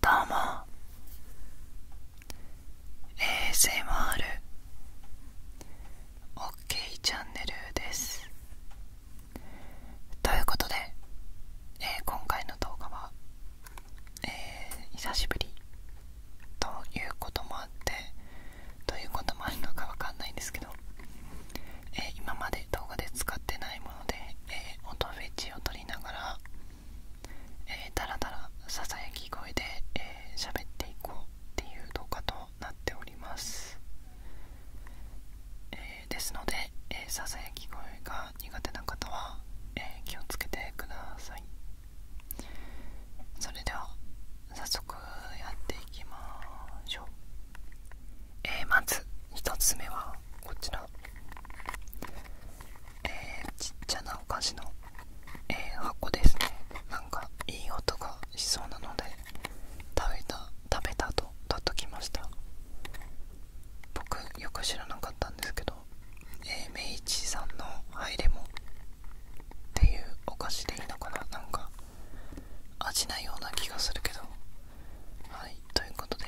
どうも ASMR オッケーチャンネルですということで、えー、今回の動画は、えー、久しぶりということもあってということもあるのかわかんないんですけど、えー、今まで動画で使ってないもので、えー、音フェチをえー、だらだらささやき声で喋、えー、っていこうっていう動画となっておりえー、ですので、えー、ささやき声が苦手な方は、えー、気をつけてくださいそれでは早速やっていきましょうえまず1つ目はこちら、えちっちゃなお菓子の、え箱ですねなんかいい音がしそうなので食べた食べたと取っときました僕よく知らなかったんですけど、えー、明治さんのハイレモっていうお菓子でいいのかななんか味ないような気がするけどはいということで、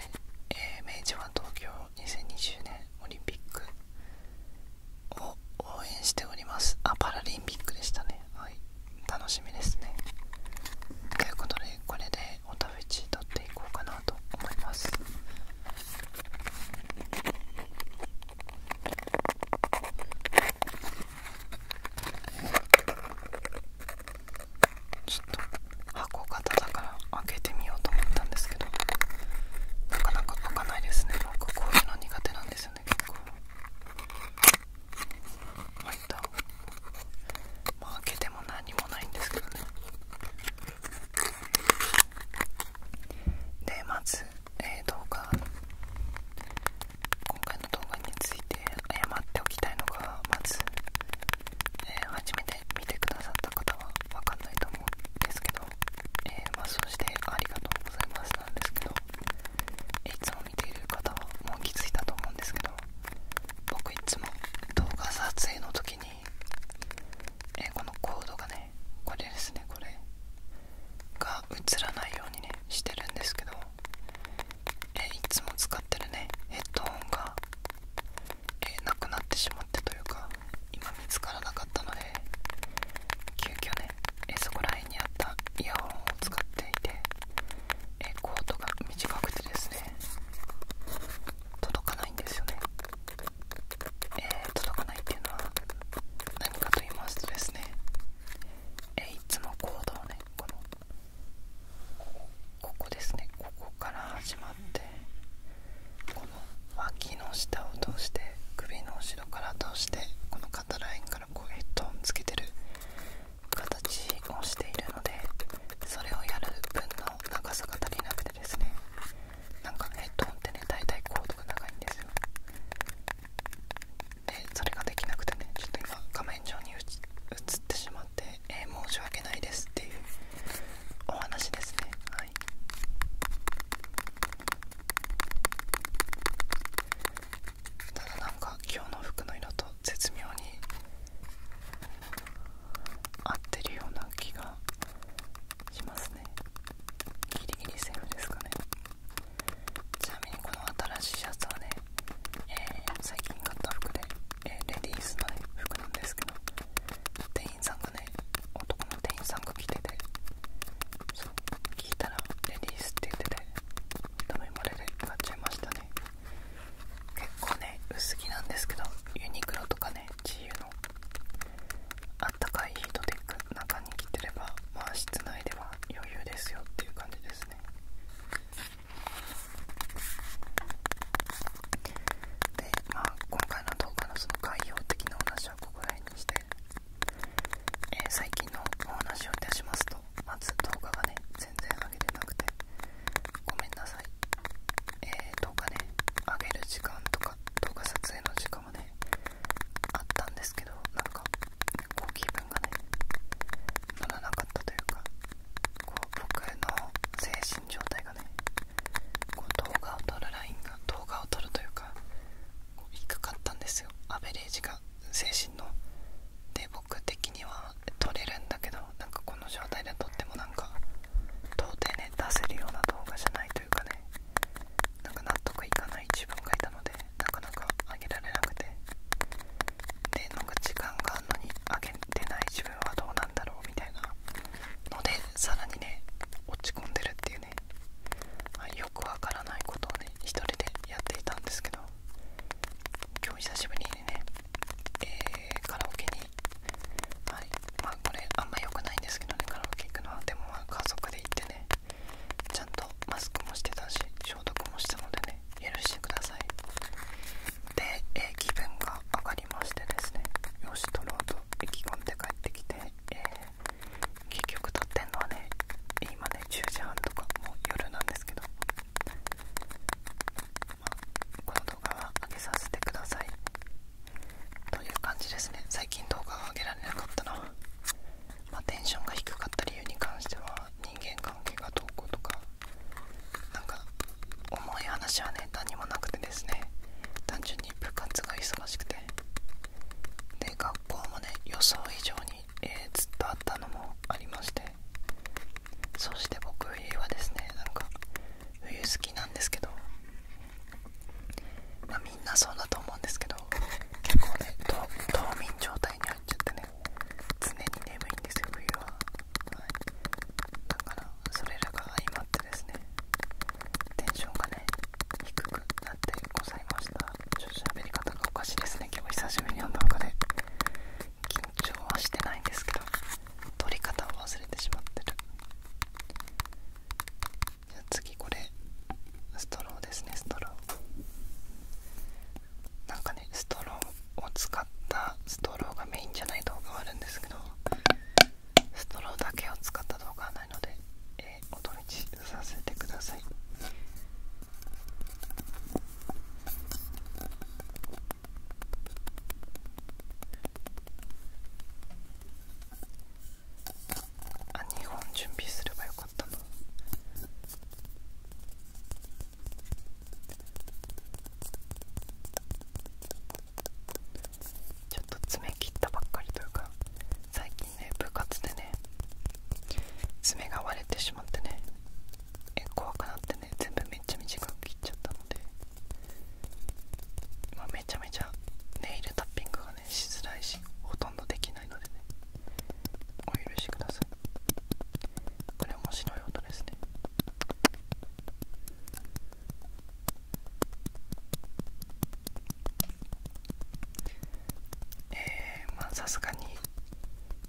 え明治は東京2020年オリンピックを応援しておりますあパラリンピックでしたねはい楽しみですねということでこれでおたふち取っていこうかなと思いますちょっと箱型だから開けてみようと思ったんですけどなかなか開かないですね僕こういうの苦手なんですよね結構いった開けても何もないんですけどねでまず、え動画今回の動画について謝っておきたいのがまずえ初めて見てくださった方は分かんないと思うんですけど、えー、まそしてありがとうございますなんですけど、いつも見ている方はもう気づいたと思うんですけど僕いつも動画撮影の時に、えこのコードがねこれですねこれが映らないようにねしてるんですけどえいつも使ってるねヘッドホンがえなくなってしまってというか今見つからなかったので急遽ねえそこら辺にあったイヤホンを使っていてえコートが短くてですね届かないんですよねえ届かないっていうのは何かと言いますとですねえいつもコードをねこのここですねここから始まってこの脇の下を通して首の後ろから通してこの肩ラインからこうヘッドをつけてる形をしているのでそれをやる分の長さが足りなくてですねなんかヘッドホンってね大体コードが長いんですよでそれができなくてねちょっと今画面上に映ってしままえ申し訳ないですっていうお話ですねはいただなんか今日の服の色と絶妙に合ってるような気がしますねギリギリセーフですかねちなみにこの新しいシャツはね、え最近買った服でえレディースの、ね、服なんですけど店員さんがね男の店員さんが着ててそう聞いたらレディースって言っててダメ漏れで買っちゃいましたね結構ね薄着なんですけどユニクロとかね自由のあったかいヒートテック中に着てればまあ室内では余裕ですよっていう感じですねで、まあ、今回の動画のその概要的なお話はここら辺にして、え最近のお話をいたしますとまず動画がね全然上げてなくてごめんなさい、えー、動画ね上げる時間とか動画撮影の時間はねあったんですけどなんかこう気分がねならなかったというかこう僕の精神状態がねこう動画を撮るラインが動画を撮るというか低かったんですよアベレージが精神ので僕的には撮れるんだけどなんかこの状態で撮ってもなんか到底ね出せるような動画じゃないというかねなんか納得いかない自分がいたのでなかなか上げられなくてでなんか時間があるのにげない自分はどうなんだろうみたいなのでさらにね落ち込んでるっていうね、よくわからないことをね一人でやっていたんですけど今日久しぶりにね、えカラオケにはいまあこれあんま良くないんですけどねカラオケ行くのはでもまあ家族で行ってねちゃんとマスクもしてたし消毒もしたのでね許してくださいで、えー、気分が上がりましてですねよし取ろうと意気込んで帰ってきて、えー、結局取ってんのはね今ね10時半とかもう夜なんですけど、まあ、この動画は上げさせてくださいという感じですね最近動画が上げられなかったのは、まあ、テンションが低かった理由に関しては人間関係がどうこうとかなんか重い話はね何もなくてですね単純に部活が忙しくてで学校もね予想以上に、えずっとあったのもありましてそして僕はですねなんか冬好きなんですけどまあみんなそうだと思うんですけど結構ね冬眠状態にちゃってね常に眠いんですよ冬は、はい、だからそれらが相まってですねテンションがね低くなってございましたちょっと喋り方がおかしいですね今日久しぶりに読んだ中で緊張はしてないんですけど撮り方を忘れてしまってるじゃあ次これストローですねストローなんかねストローを使ったストローがメインじゃない動画はあるんですけどストローだけを使った動画はないので、えお取りさせてくださいあ2本準備すればよかったなちょっと爪切ったばっかりというか最近ね部活でね爪が割れてしまってねえ怖くなってね全部めっちゃ短く切っちゃったので今めちゃめちゃネイルタッピングがねしづらいしほとんどできないのでねお許しくださいこれ面白い音ですねえー、まあさすがに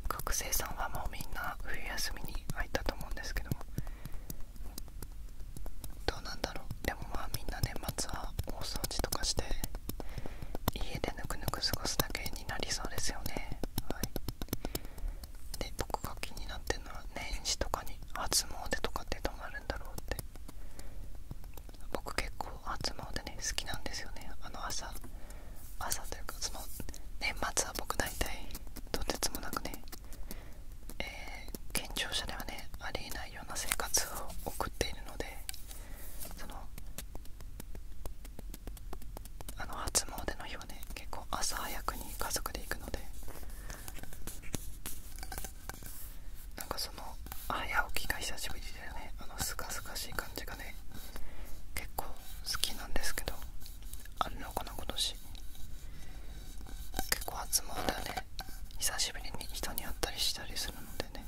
学生さんはもうみんな冬休みに入ったと思うんですけどもどうなんだろうでもまあみんな年末は大掃除とかして家でぬくぬく過ごすだけになりそうですよねはいで僕が気になってるのは年始とかに初詣とかってどうなるんだろうって僕結構初詣ね好きなんですよねあの朝朝というかその年末は僕大体とてつもなくねえー、健常者ではねありえないような生活を送っているのでそのあの初詣の日はね結構朝早くに家族で行くのでなんかその早起きが久しぶりでねあのすがすがしい感じがね結構好きなんですけどあるのかな今年結構初詣はね久しぶりに人に会ったりしたりするのでね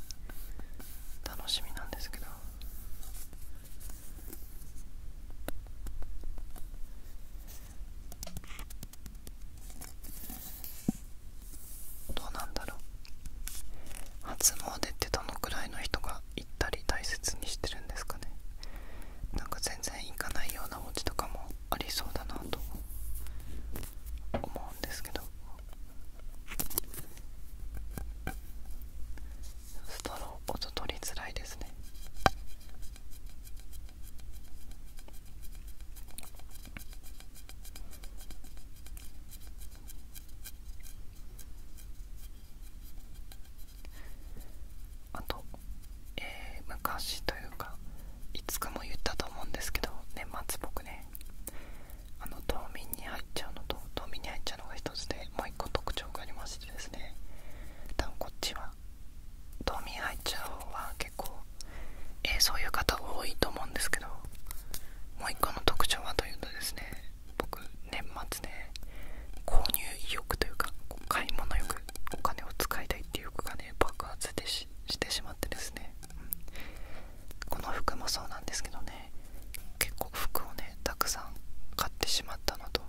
楽しみなんですけどどうなんだろう初詣ってどのくらいの人が行ったり大切にしてるんですかねなんか全然行かないようなお家とかもありそうだなと思うんですけどストロー音取りづらいですねあと、えー、昔というかいつかも言ったと思うんですけど年末僕ねあの冬眠に入っちゃうのと冬眠に入っちゃうのが一つでもう一個特徴がありましてですね多分こっちは冬眠入っちゃう方は結構、えそういう方多いと思うんですけどもう一個の特徴はというとですね僕年末で、ね、購入意欲というか買い物欲お金を使いたいっていう欲がね爆発してしまってですね、この服もそうなんですけどね結構服をねたくさん買ってしまったのと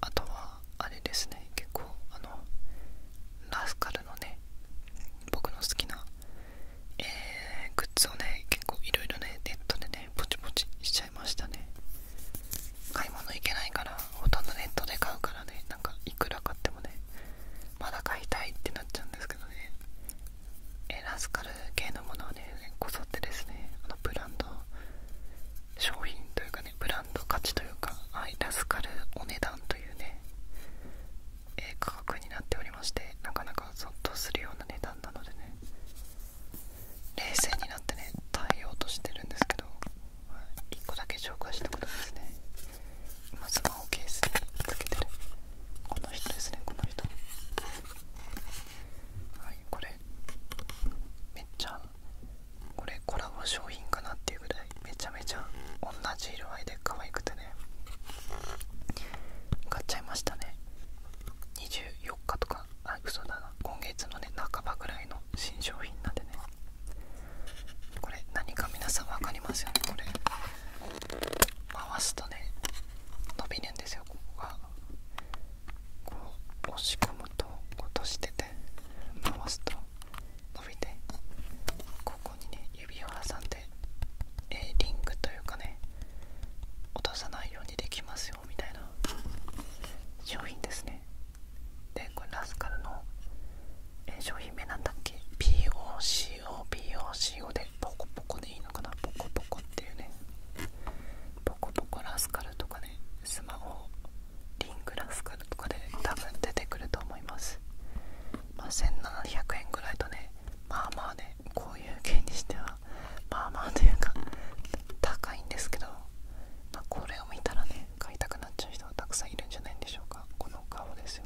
あとはあれですね結構あのラスカルのね僕の好きな、えグッズをね結構いろいろねネットでねポチポチしちゃいましたね買い物行けないからほとんどネットで買うからねなんかいくら買ってもねまだ買いたいってなっちゃうんですけどねえラスカル系のものはねこぞってですねあのブランド商品というかねブランド価値というか、はい、ラスカルお値段というね、え価格になっておりましてなかなかゾっとするような値段なのでね冷静になってね対応としてるんですけど、1個だけ紹介したことですね今スマホケースにつけてるこの人ですねこの人はいこれめっちゃこれコラボ商品かなっていうぐらいめちゃめちゃ同じ色合いで可愛くてね買っちゃいましたね24日とかあ嘘だな今月のね半ばぐらいの新商品なんでねこれ何か皆さん分かりますよねこれ回すとね伸びるんですよここがこう押し込むと落としてて回すと伸びてここにね指を挟んで、えリングというかね落とさないようにできますよみたいな商品ですねでこれラスカルの、え商品名なんだっけ p COPOCO でポコポコでいいのかなポコポコっていうねポコポコラスカルとかねスマホリングラスカルとかで多分出てくると思いますま1700円ぐらいとねまあまあねこういう系にしてはまあまあというか高いんですけど、まこれを見たらね買いたくなっちゃう人はたくさんいるんじゃないんでしょうかこの顔ですよ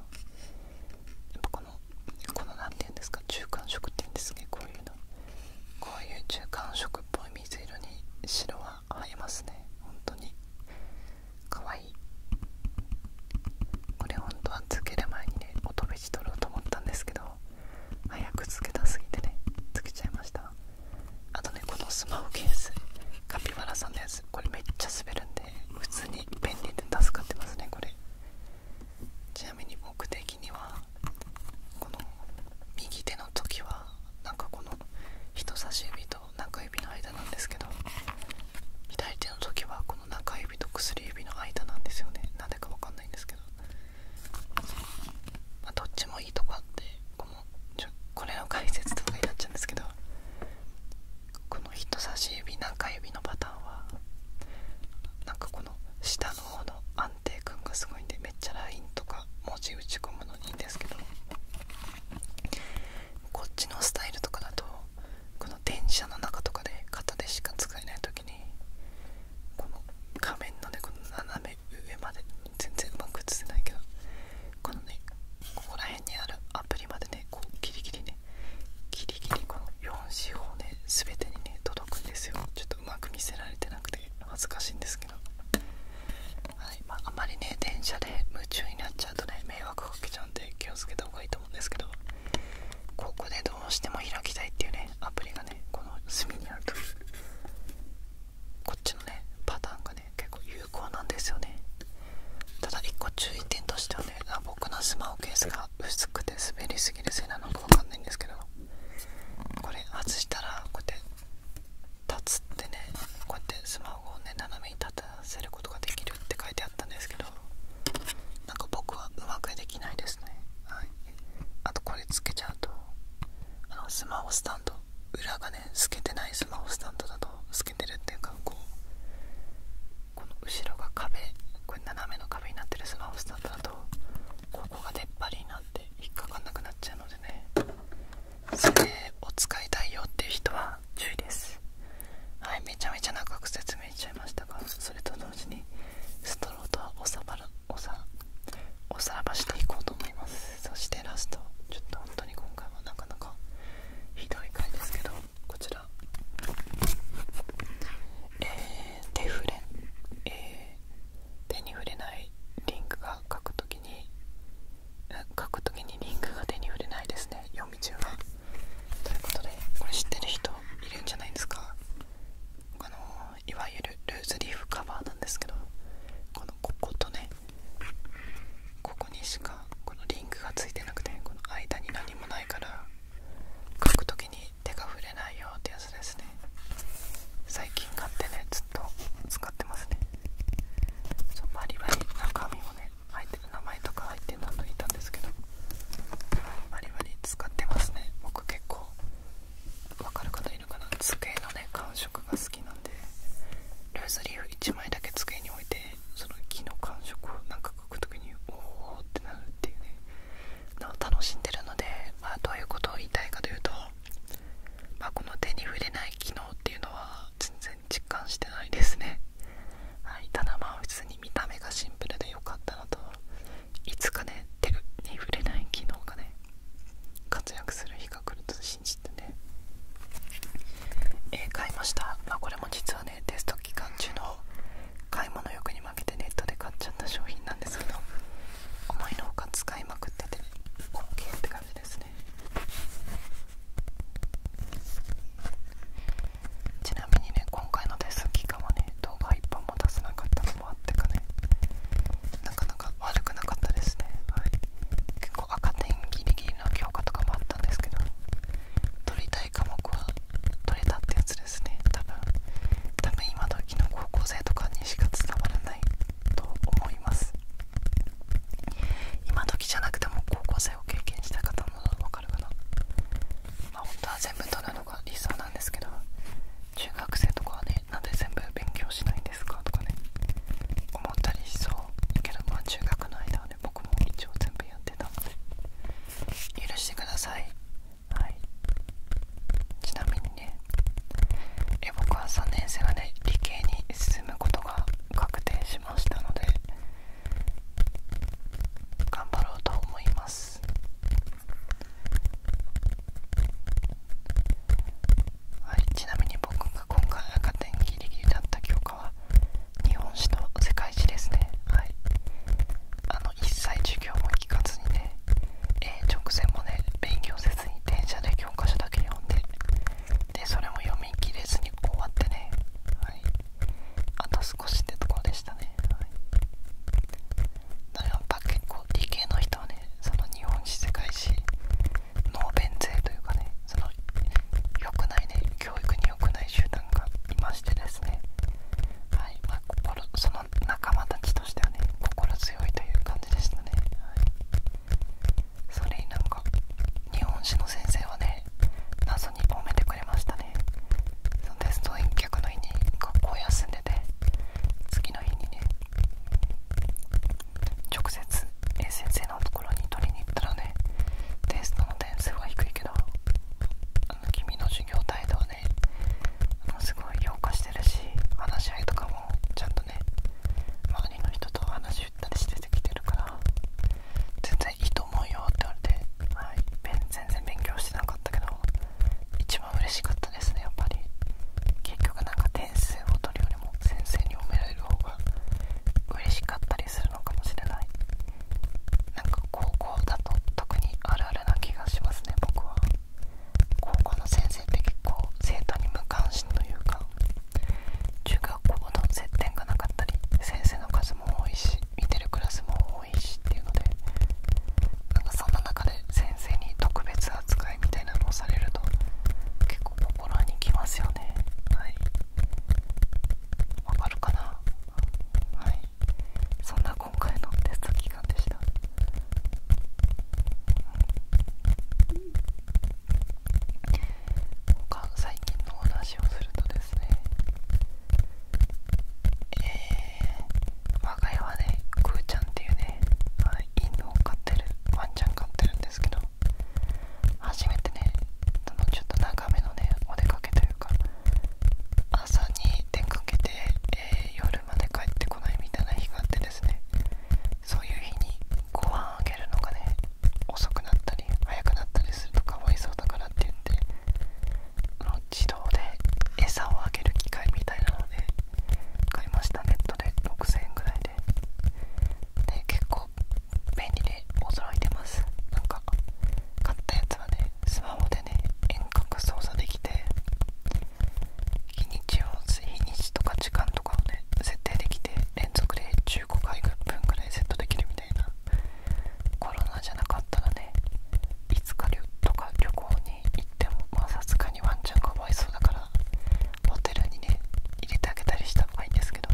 この何て言うんですか中間色って言うんですねこういうのこういう中間色っぽい水色に白は合いますね本当にかわいいこれ本当はつける前にね音ベジ取ろうと思ったんですけど早くつけたすぎてねつけちゃいましたあとねこのスマホケースカピバラさんのやつこれめっちゃ滑るんで普通に便利で助かってますねこれじゃなみに僕的にはこの右手の時はなんかこの人差し指と中指の間なんですけど左手の時はこの中指と薬指の間なんですよねなんでかわかんないんですけど、どっちもいいとこあってこのちょこれの解説とかになっちゃうんですけどこの人差し指中指のパタなんかこの下の方の安定感がすごいんでめっちゃラインとか文字打ち込むのにいいんですけどこっちのスタイルとかだとこの電車の中とかで肩でしか使えない時にこの画面のねこの斜め上まで全然うまく映せないけどこのねここら辺にあるアプリまでねこうギリギリにギリギリこの4四方ね全てにね届くんですよちょっとうまく見せられてなくて恥ずかしいんですけどはいまああまりね電車で夢中になっちゃうとね迷惑かけちゃうんで気をつけた方がいいと思うんですけどここでどうしても開きたいっていうねアプリがねこの隅にあるとこっちのねパターンがね結構有効なんですよねただ1個注意点としてはね僕のスマホケース薄くて滑りすぎるせいなのかわかんないんですけどこれ外したらこうやって立つってねこうやってスマホをね斜めに立たせることができるって書いてあったんですけどなんか僕はうまくできないですねはいあとこれつけちゃうとあのスマホスタンド裏がね透けてないスマホスタンドだと透けてるっていうかこう後ろが壁これ斜めの壁になってるスマホスタンドだとここが出っ張りになって引っかかんなくなっちゃうのでねそれを使いたいよっていう人は注意ですはいめちゃめちゃ長く説明しちゃいましたがそれと同時にストローとはおさばらおさおさばしていこうと思いますそしてラストちょっと本当に今回はなかなかひどい回ですけどこちら、えー、フレれ、えー、手に触れないリンクが書く時に書く時にリンクが手に触れないですね読み中はということでれ知ってる人いるんじゃないですかあのいわゆるルーズリーフカバーなんですけどこのこことねここにしかこのリンクがついてなくてこの間に何もないから描く時に手が触れないよってやつですね最近買ってねずっと使ってますねそうバリバリ中身もね入ってる名前とか入ってるの抜いたんですけどバリバリ使ってますね僕結構わかる方いるかな机のね感触が好きなんでルーズリーフ1枚だけ机に置いてその木の感触をなんか書くときにおおってなるっていうね楽しんでるので、まあ、どういうことを言いたいかというと、まこの手に触れない機能っていうのは全然実感してないですね、はい、ただまあ普通に見た目がシンプルで良かったのといつかね手に触れない機能がね活躍する日が来ると信じてね、え買いました、これも実はねねテスト期間中の買い物欲に負けてネットで買っちゃった商品なんですけど思いのほか使いまくってて OK って感じですねちなみにね今回のテスト期間はね動画一本も出せなかったのもあってかねなかなか悪くなかったですね、結構赤点ギリギリの強化とかもあったんですけど取り科目は取れたってやつですね多分多分今時の高校生とかにしか伝わらないと思います今時じゃなくても高校生を経験した方も分かるかなま本当は全部取るのが理想なんですけど中学生とかはねなんで全部勉強しないんですかとかね思ったりしそうけどまあ中学の間は僕も一応全部やってた許してくださいちなみにねえ僕は3年生がね理系に進むことが確定しましたので頑張ろうと思いますはいちなみに僕が今回赤点ギリギリだった教科。かは日本史の世界史ですねはいあの一切授業も聞かずにね、えー、直前もね勉強せずに電車で教科書だけ読んででそれも読み切れずに終わってねはいあと少しでてところでしたね、はい、なだからやっぱ結構理系の人はねその日本史世界史の弁税というかねその良くないね教育に良くない集団がいましてですね、はいまあ、心その仲間たちとしてはね心強いという感じでしたね、はい、それになんか日本史の先生はね謎に褒めてくれましたねそのテスト返却の日に学校休んでて次の日にね直接 A 先生のところに取りに行ったらねの、テストの点数は低いけどあの君の授業態度はねあのすごい評価してるし話し合いとかもちゃんとね周りの人と話したりしてきてるから全然いいと思うよって言われて、はい、全然勉強してなかったけど一番嬉しかったですねやっぱり結局なんか点数を取るよりも先生に褒められる方が嬉しかったりするのかもしれないなんか高校だと特にあるあるな気がしますね僕は高校の先生って結構生徒に無関心というか中学校の接点がなかったり先生の数も多いし見てるクラスも多いしっていうのでなんかそんな中で先生に特別扱いみたいなのをされると結構心にきますよねはいわかるかなはいそんな今回のテスト期間でした、最近のお話をするとですねえー、我が家はねくーちゃんっていうね犬を飼ってるワンちゃん飼ってるんですけど初めてねちょっと長めのねお出かけというか朝に出かけて、え夜まで帰ってこないみたいな日があってですねそういう日にご飯あげるのがね遅くなったり早くなったりするとかわいそうだからって言って自動で餌をあげる機械みたいなので買いましたネットで6000円ぐらいでで結構便利で驚いてますなんか買ったやつはねスマホでね遠隔操作できて日にちを日にちとか時間とかをね設定できて連続で15回分ぐらいセットできるみたいなコロナじゃなかったらねいつか旅とか旅行に行ってもまあさすがにワンちゃんかわいそうだからホテルにね入れてあげたりした方がいいんですけど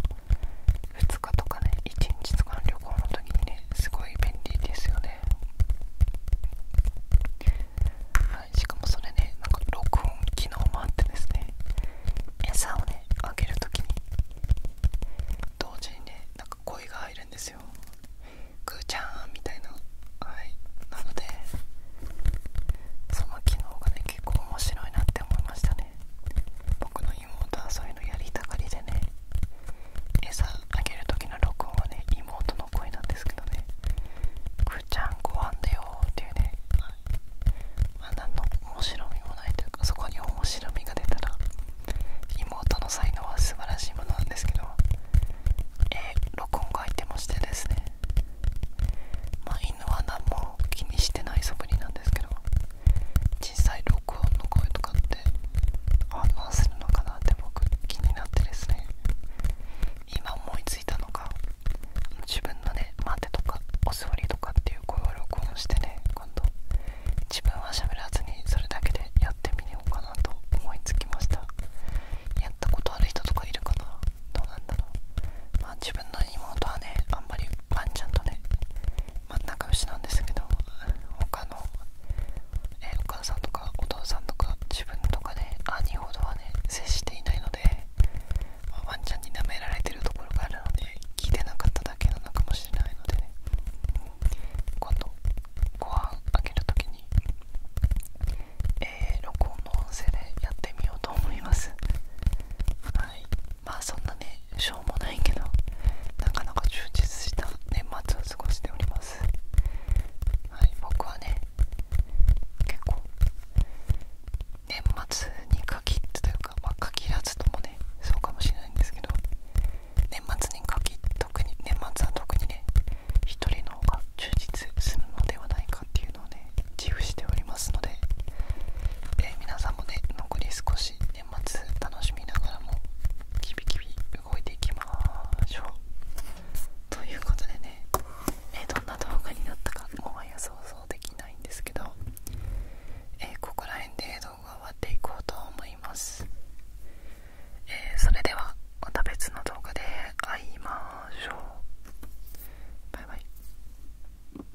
2日とかね1日とかの旅行の時にねすごい便利ですよねはいしかもそれねなんか録音機能もあってですね餌をねあげる時に同時にねなんか声が入るんですよグーちゃんみたいなはいなのでその機能がね結構面白いなって思いましたね僕の妹やりたがりでね餌あげる時の録音はね妹の声なんですけどね「くーちゃんご飯だよ」っていうね、はんまの面白みもないというかそこに面白みが出たら妹の才能は素晴らしいものなんですけどえ録音が入ってましてですねまあ犬は何も気にしてない素振りなんですけど小さい録音の声とかって反応するのかなって僕気になってですね今思いついたのが自分のね「待て」とか「お座り」とかっていう声を録音してね今度自分は喋らずにそれだけでやってみようかなと思いつきましたやったことある人とかいるかなどうなんだろう分の妹はねあんまりワンちゃんとね真ん中牛なんですけど他のえお母さんとかお父さんとか自分とかで兄ほどはね接していないので、ワンちゃんに舐められてるところがあるので聞いてなかっただけなのかもしれないのでね今度ご飯あげるときに、えー、録音の音声でやってみようと思います。はいまあそんなねしょうもないけどなかなか充実した年末を過ごしておりますはい僕はね結構年末に限ってというかまあ限らずともねそうかもしれないんですけど年末に限特に年末は特にね一人の方が充実するのではないかっていうのをね自負しておりますのでえ皆さんもね残り少し年末楽しみながらもキビキビ動いていきましょうということでねえどんな動画になったかもはや想像できないんですけどえここら辺で動画を終わっていこうと思いますえそれではまた別の動画で会いましょうバイバイ